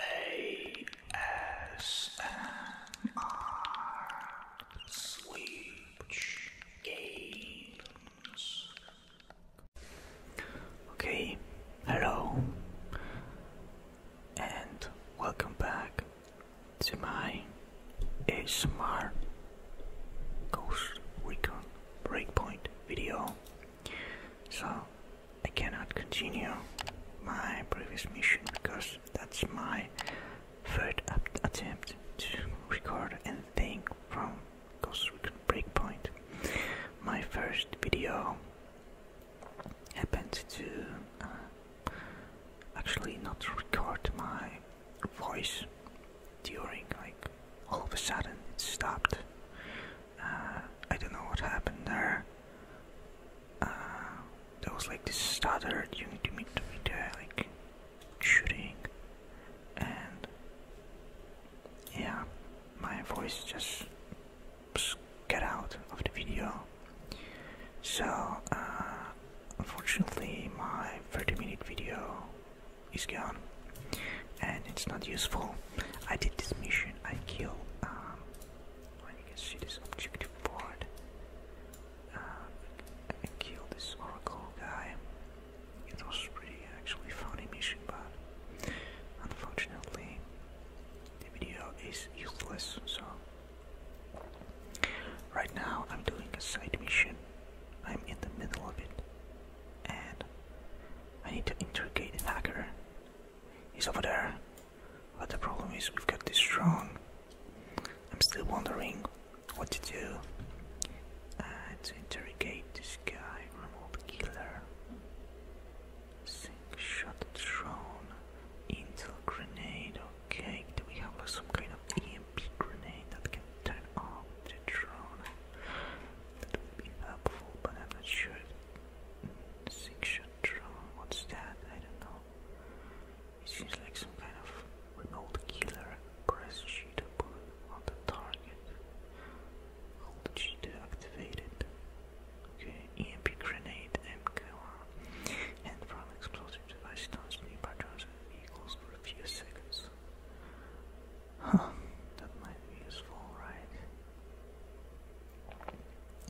ASMR Switch Games. Okay, hello, and welcome back to my ASMR Ghost Recon Breakpoint video. So, I cannot continue my previous mission because that's my third attempt to record anything from Ghost Recon Breakpoint. My first video happened to uh, actually not record my voice during like all of a sudden it stopped uh, I don't know what happened there. Uh, there was like this stutter during the mid like shooting, and yeah, my voice just get out of the video. So, uh, unfortunately, my 30 minute video is gone and it's not useful. I did this mission, I kill um, well, you can see this objective board. I can um, kill this Oracle guy. It was pretty actually funny mission, but unfortunately, the video is useless. So right now, I'm doing a side mission. I'm in the middle of it, and I need to interrogate the hacker. He's over there. But the problem is we've got this drone. I'm still wondering what to do. Uh, to interrogate this guy, remote killer. Sink shot drone. Intel grenade, okay. Do we have some kind of EMP grenade that can turn off the drone? That would be helpful, but I'm not sure. Mm, sink shot What's that? I don't know. It seems like some kind of old killer. Press G to put on the target. Hold G to activate it. Okay, EMP grenade, MK1. And from explosive device stones nearby drones vehicles for a few seconds. Huh, that might be useful, right?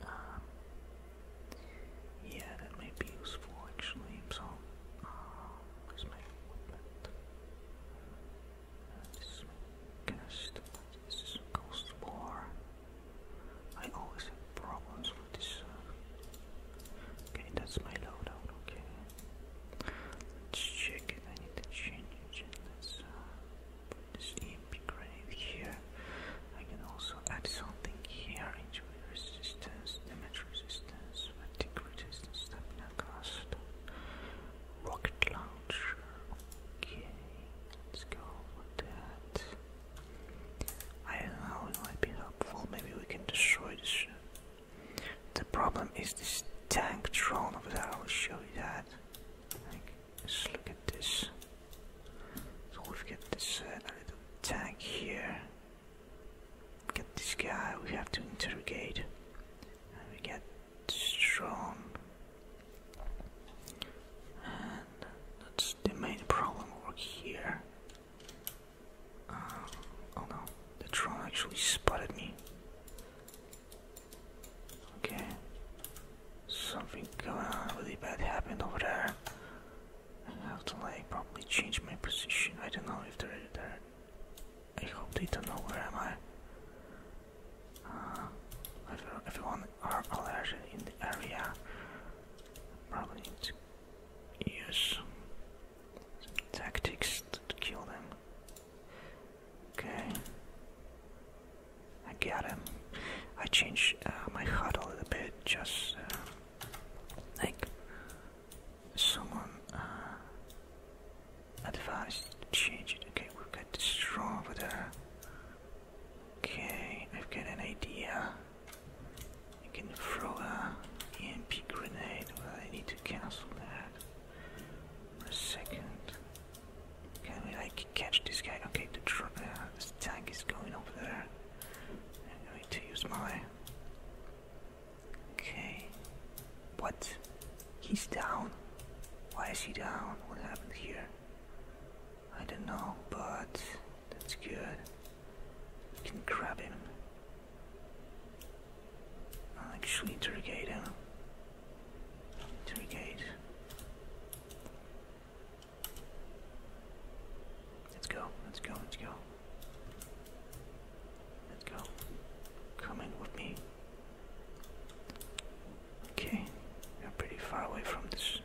Um, yeah, that may be useful actually. So, uh, where's my equipment? Uh, this is my cast. This is Ghost War. I always have problems with this. Uh, okay, that's my loadout. Okay. Let's check if I need to change it this EMP grenade here. I can also add something here, injury resistance, damage resistance, fatigue resistance, stamina cost, rocket launcher. Okay, let's go with that. I don't know, it might be helpful. Maybe we can destroy this. The problem is this tank drone over there. I will show you that. Let's look at this. So we've got this uh, little tag here. Get this guy we have to interrogate. we get strong. And that's the main problem over here. Uh, oh no, the drone actually spotted me. Okay, Something going on really bad happened over there. I have to like probably change my position. I don't know if they're there. I hope they don't know where am I. Uh, if everyone are already in the area, probably need to use some tactics to kill them. Okay. I got him. I changed uh, my HUD a little bit, just uh, like someone uh, advised change it. Okay, we've got the straw over there. Okay, I've got an idea. I can throw a EMP grenade. Well, I need to cancel that. For a second. Can we like catch this guy? Okay, the tr uh, this tank is going over there. I'm going to use my. Okay. What? He's down. Why is he down? What happened here? I don't know, but that's good. We can grab him. I'll actually interrogate him. Interrogate. Let's go, let's go, let's go. Let's go. Come in with me. Okay, we're pretty far away from this.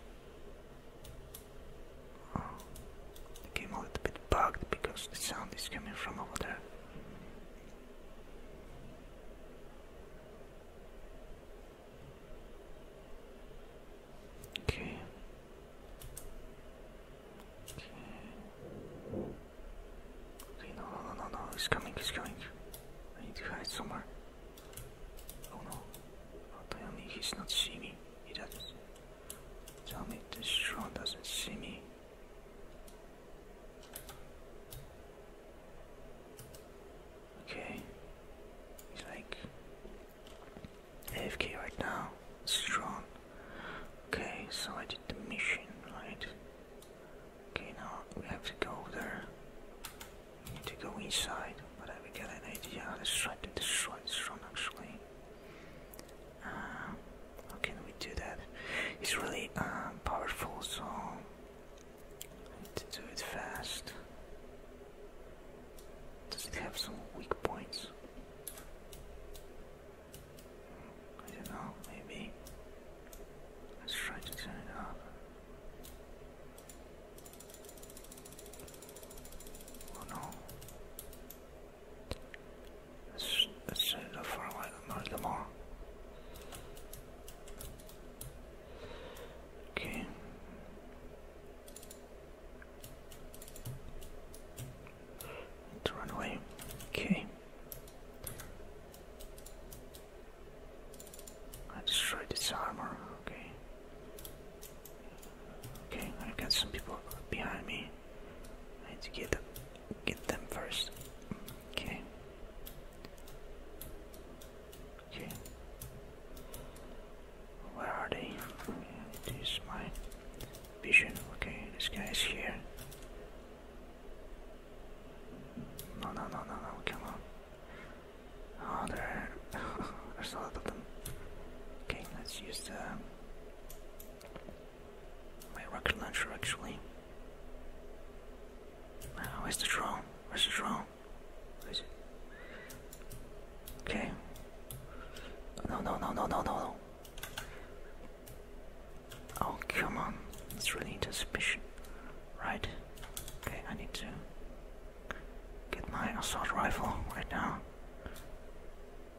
Oh, the game a little bit bugged because the sound is coming from over there. Okay. Okay. Okay, no, no, no, no, he's coming, he's coming. I need to hide somewhere. Oh no. Oh, tell me not see He doesn't. Tell me this drone doesn't see me. Okay. He's like AFK right now. Strong. Okay, so I did the mission, right? Okay, now we have to go there. We need to go inside, but I will get an idea. Let's try to destroy this run actually. Uh, how can we do that? It's really uh, powerful, so to do it fast. Does it have some weak points? I don't know, maybe. Let's try to turn it up. Oh no. Let's, let turn it up for a while, not a little more. Okay let run away. Okay. I destroyed this armor. Okay. Okay, I've got some people behind me. I need to get them, get them first. Okay. Okay. Where are they? Okay, it is my vision. Okay, this guy is here. No, no, no, no, no, come on. Oh, there. There's a lot of them. Okay, let's use the. Um, my rocket launcher actually. Uh, where's the drone? Where's the drone? Okay. No, no, no, no, no, no, no. Oh, come on. It's really suspicion. Right. Okay, I need to get my assault rifle right now.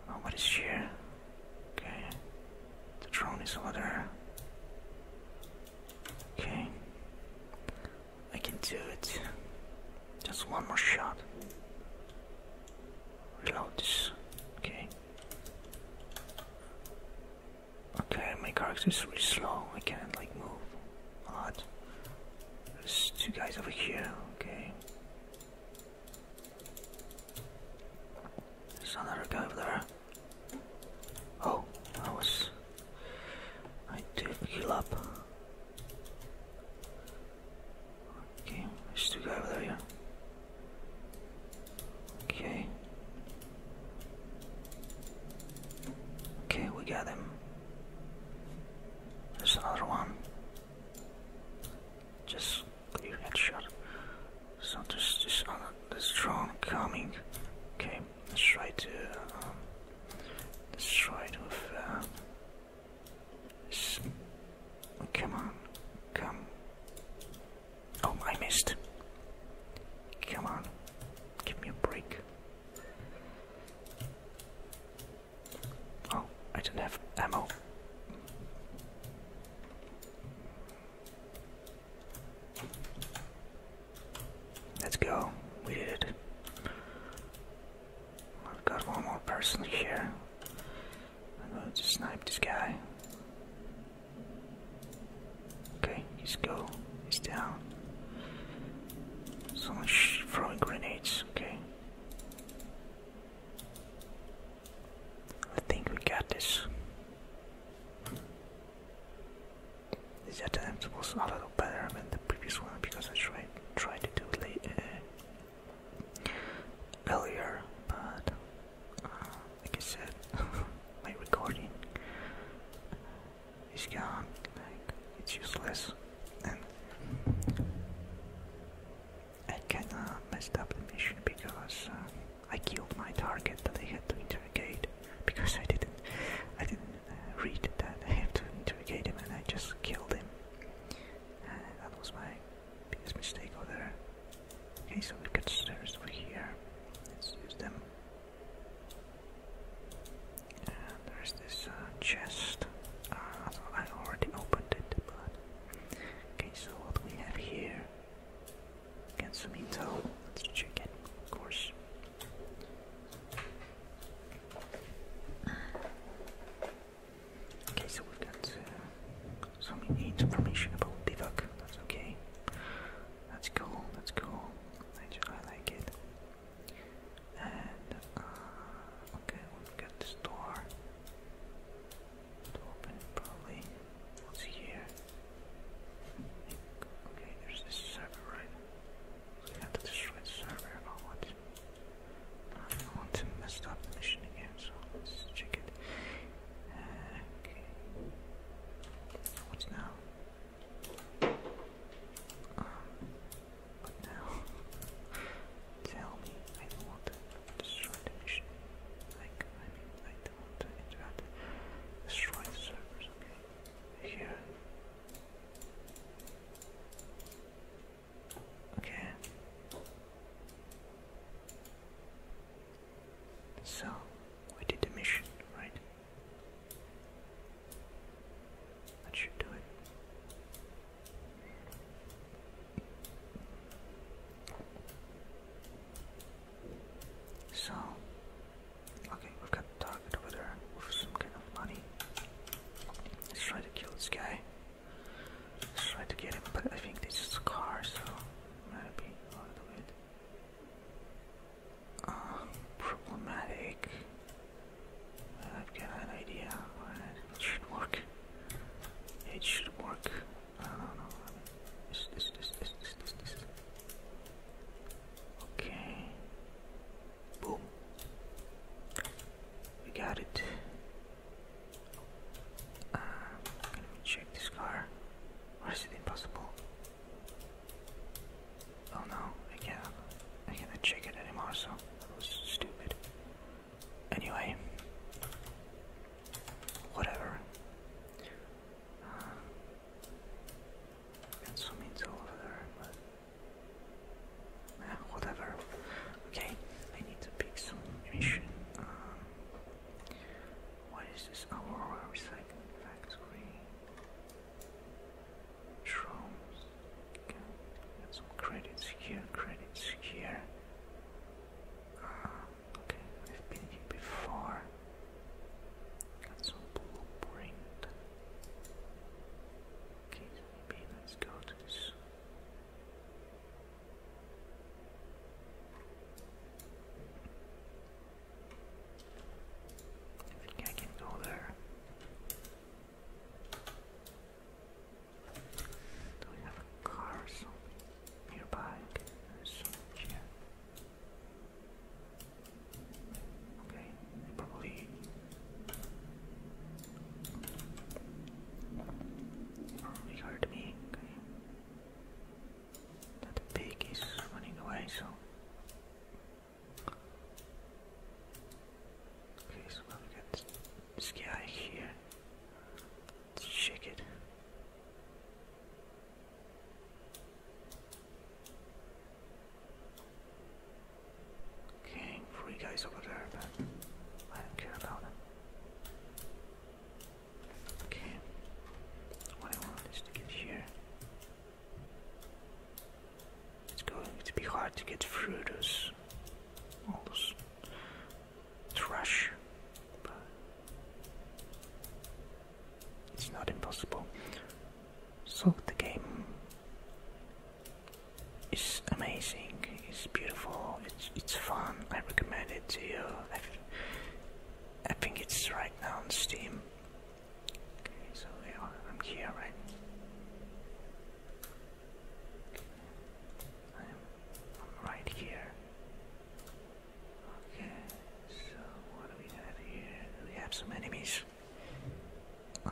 Nobody's oh, here. Okay. The drone is over there. Okay. I can do it. Just one more shot. Reload this. Okay. Okay, my character is really slow. I can't like move a lot. There's two guys over here. Okay. There's another guy over there. Oh, I was. I did heal up. Okay, there's two guys over there, Okay. Okay, we got him. There's another one. Just clear headshot. So there's this other this strong coming. Okay let's try to let's try to. come on come oh I missed come on give me a break oh I don't have ammo Let's go. We did it. I've got one more person here. I'm going to snipe this guy. Okay, he's go. He's down. Someone throwing grenades. Okay. I think we got this. This attempt was a lot better than the previous one because I tried tried to do it uh, earlier, but uh, like I said, my recording is gone. it's useless, and I kinda messed up the mission because uh, I killed my target that I had to interrogate because I didn't I didn't read that I have to interrogate him and I just killed him. that was my biggest mistake over there. Okay, so we got stairs over here. Let's use them. And there's this uh, chest. Uh, I already opened it, but... Okay, so what we have here? Get some intel. Let's check it, of course. Okay, so we've got uh, some information about Bivak. That's okay. That's cool. That's cool. I, I like it. And uh, okay, we've got this door to open. Probably. What's here? Okay, there's this server, right? So we to destroy the server. I don't want to, I want to mess up the mission again, so let's check it. okay. What's now? Um, what now? Tell me, I don't want to destroy the mission. Like, I mean, I don't want to interrupt. Destroy the servers, okay? Here, Okay. So, we did the mission, right? That should do it. So, okay, we've got target over there for some kind of money. Let's try to kill this guy. Let's try to get him, but I think this is a car, so maybe a little bit problematic. I've got an idea. It should work. It should work. I don't know. Okay. Boom. We got it. Uh, can we check this car? Or is it impossible? Oh no, I can't. check it anymore, so that was stupid. Anyway, whatever. Uh, got some over there, Ah, whatever. Okay, I need to pick some mission. Um, what is this? Aurora oh, Recycling Factory. Drones. got some credits here, credits here. Um, okay, I've been here before. Got some blueprint. Okay, Maybe let's go to this. I think I can go there. Do we have a car or something nearby? There's something Okay, Probably. Probably hurt me. Okay. That pig is running away, so. Okay, so now we got this guy here. Let's check it. King, three guys over there, I don't care about them. Okay, what I want is to get here. It's going to be hard to get through those, all those trash, but it's not impossible. So the game it's amazing. It's beautiful. It's it's fun. I recommend it to you. I, think it's right now on Steam. Okay, so I'm here, right? I'm, I'm right here. Okay, so what do we have here? We have some enemies. Um,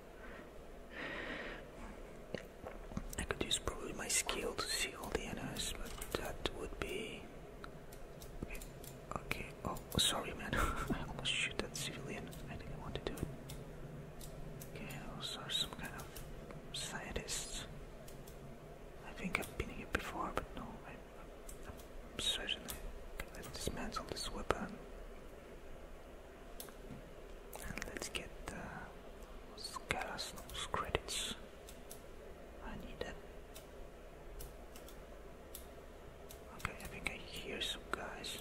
I could use probably my skill to see all the enemies, but that would be. Okay, oh, sorry man, I almost shoot that civilian, I didn't want to do it. Okay, those are some kind of scientists. I think I've been here before, but no, I, am certainly gonna dismantle this weapon let's get the Skalasnov's credits. I need that. Okay, I think I hear some guys.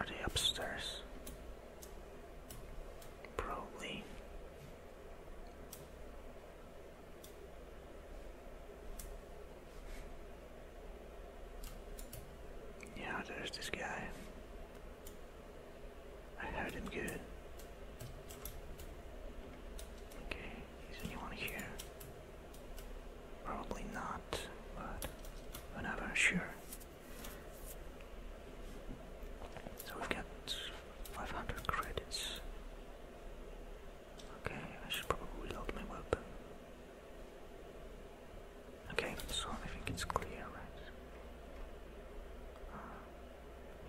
Are they upstairs? Probably. Yeah, there's this guy. I heard him good. Okay, is anyone here? Probably not, but whenever, sure. So we've 500 credits. Okay, I should probably reload my weapon. Okay, so I think it's clear, right? Uh,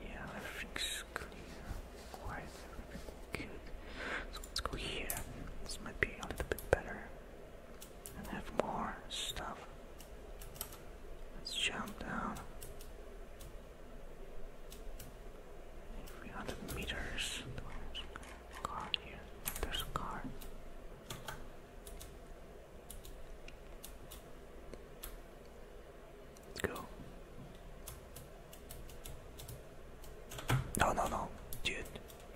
yeah, everything's clear. Quite good. So let's go here. This might be a little bit better. And have more stuff. Let's jump down. 300 meters car here. There's a car. Let's go. No, no, no, dude.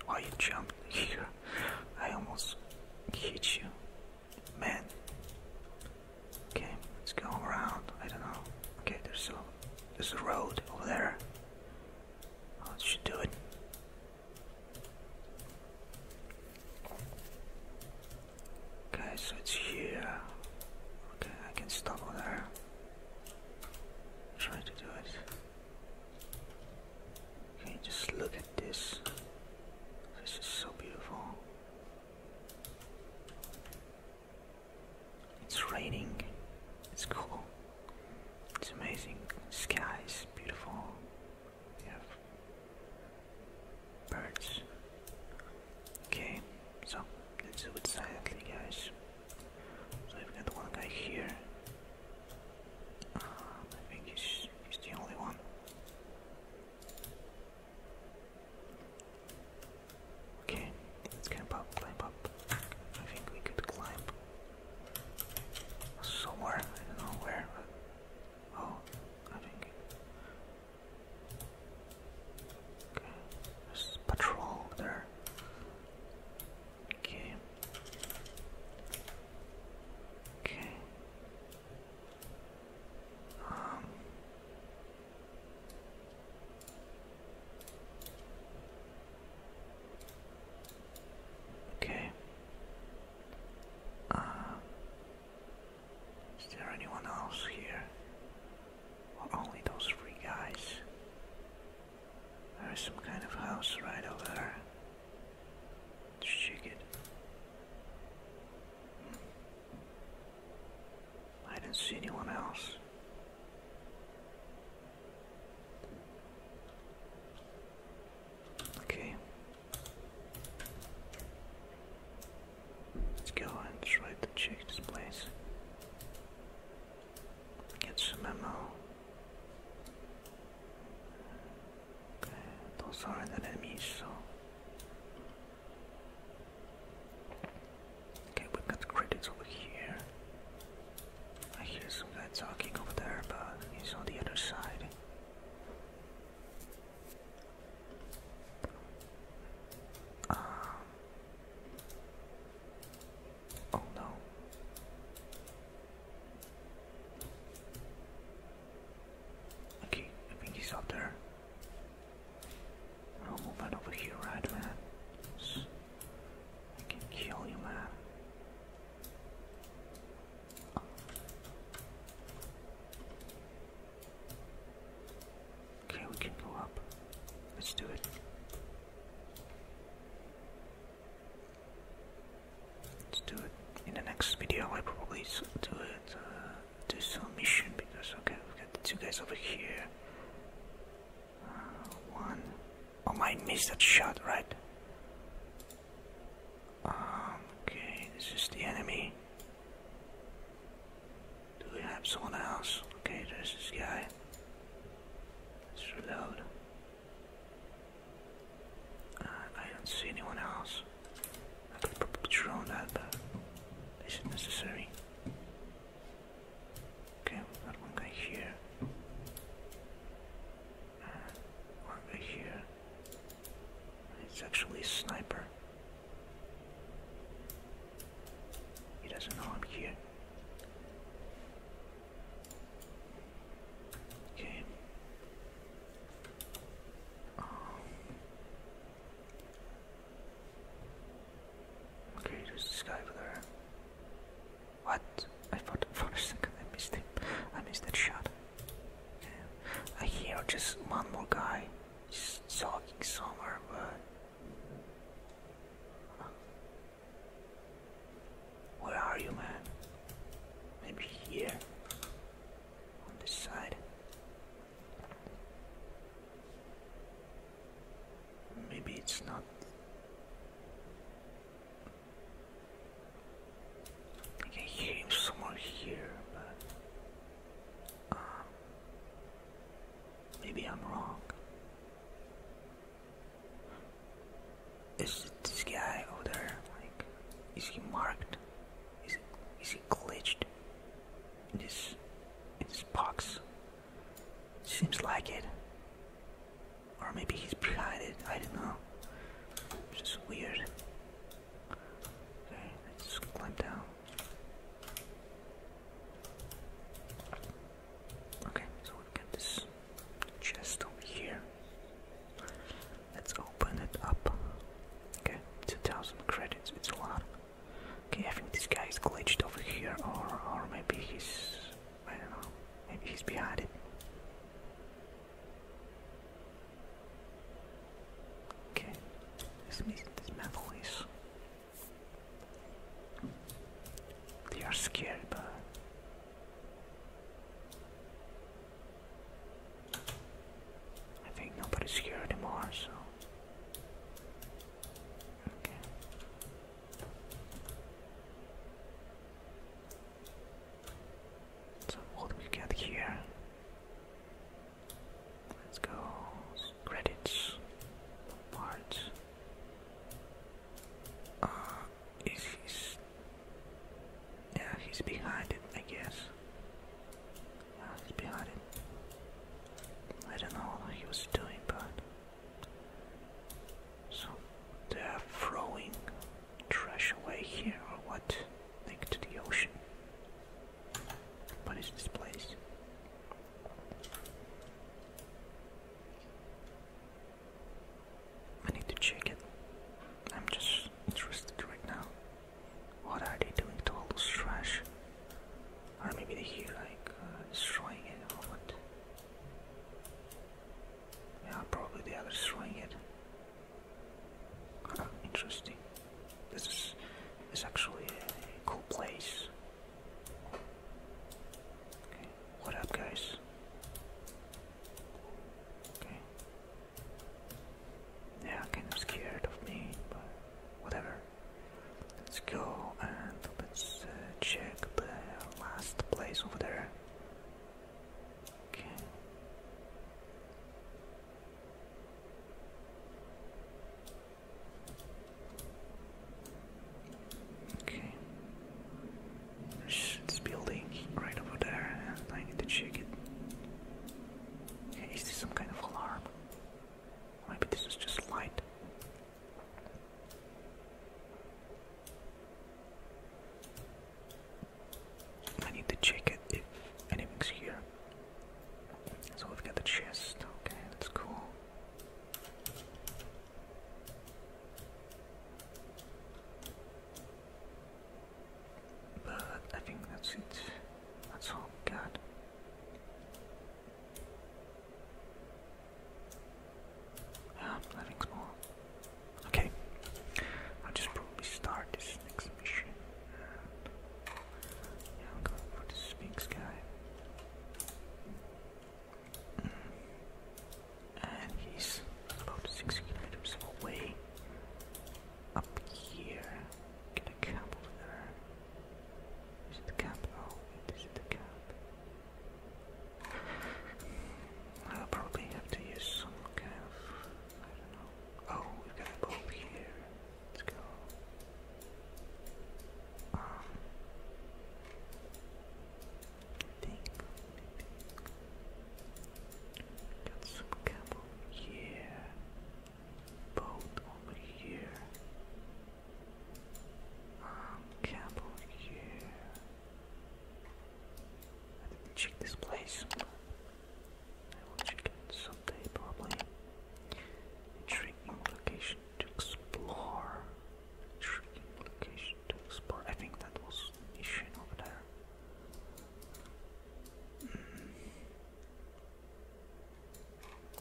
Why you jumped here? I almost hit you. Man. Okay, it's going around. I don't know. Okay, there's a there's a road over there. Oh, that should do it. Okay, so it's here. Okay, I can stop over there. Try to do it. Okay, just look at this. This is so beautiful. It's raining. It's cool. It's amazing. The Skies, beautiful. We have birds. Okay, so let's do it silently, guys. So we got one guy here. Um, I think he's, he's the only one. Okay, Let's climb up, climb up. I think we could climb somewhere. I don't know where, but oh, I think. Okay, there's patrol over there. Okay. Okay. Um. Okay. Uh, is there anyone else here? only those three guys? There is some kind of house right over there. check it. Hmm. I didn't see anyone else. Okay. Let's go and try to check this place. Get some ammo. Don't those are the enemies, so Okay, we got credits over here. I hear some guy talking over there, but he's on the other side. Um, oh no. Okay, I think he's up there. I'll move that over here, right, man? I can kill you, man. Okay, we can go up. Let's do it. Let's do it in the next video. I probably do it uh, do some mission because okay, we've got two guys over here. One. Oh, I missed that shot, right? Um, okay, this is the enemy. Do we have someone else? Okay, there's this guy. Let's reload. Uh, I don't see anyone else. I could probably drone that, but is it necessary? Okay, we've here. Uh, one here. It's actually a sniper. He doesn't know I'm here. Okay. Um, okay, there's this over there. What? I thought for a second I missed him. I missed that shot. I hear just one more guy just talking somewhere, but. Where are you, man? Maybe here? On this side? Maybe it's not. I can hear him here, but um, maybe I'm wrong. Is this guy over there? Like, is he marked? Is it? Is he glitched? In this, in this box. Seems like it. Or maybe he's behind it, I don't know. It's just weird. Okay, let's climb down. Okay, so we've this chest over here. Let's open it up. Okay, 2000 credits, it's a lot. Okay, I think this guy is glitched over here, or, or maybe he's I don't know. Maybe he's behind it. Okay. This this metal is. They are scared, but. I think nobody's here anymore, so. Okay. So what we get here? Let's go credits part. Uh, is he's yeah he's behind it I guess. Yeah, he's behind it. I don't know what he was doing, but so they are throwing trash away here or what? Next the ocean. What is this place? I need to check it. I'm just interested right now. What are they doing to all those trash? Or maybe they're here like uh, destroying it or what? Yeah, probably the others throwing it. interesting. This is, is actually a cool place. what up, guys? Okay. Yeah, kind of scared of me, but whatever. Let's go and let's uh, check the last place over there. Okay. Okay. It's building right over there, and I need to check it. this some kind of alarm? Maybe this is just light. I need to check it if anything's here. So we've got the chest. Okay, that's cool. But I think that's it. That's all we got. Ah, nothing's more. Okay, I'll just probably start this next mission. yeah, I'll go for the Sphinx guy. And he's about 6 kilometers away. Up here. Get a camp over there. Is it the camp? Oh, it is the camp. I'll probably have to use some kind of, I don't know. Oh, we got a bulb here. Let's go. Um, think, I think. some cable here. Boat over here. Um, cable here. I check this place. I will check it someday probably. Intriguing location to explore. Intriguing location to explore. I think that was mission over there.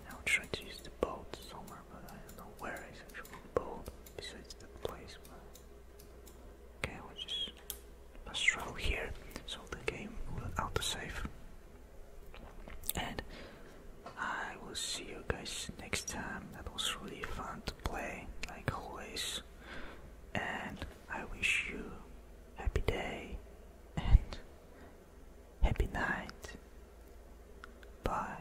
I'll hmm. try to use the boat somewhere but I don't know where I actually bought besides the place. Okay, I will just pass through here, so the game will autosave. And I will see you guys next time. That was really fun to play, like always. And I wish you happy day and happy night. Bye.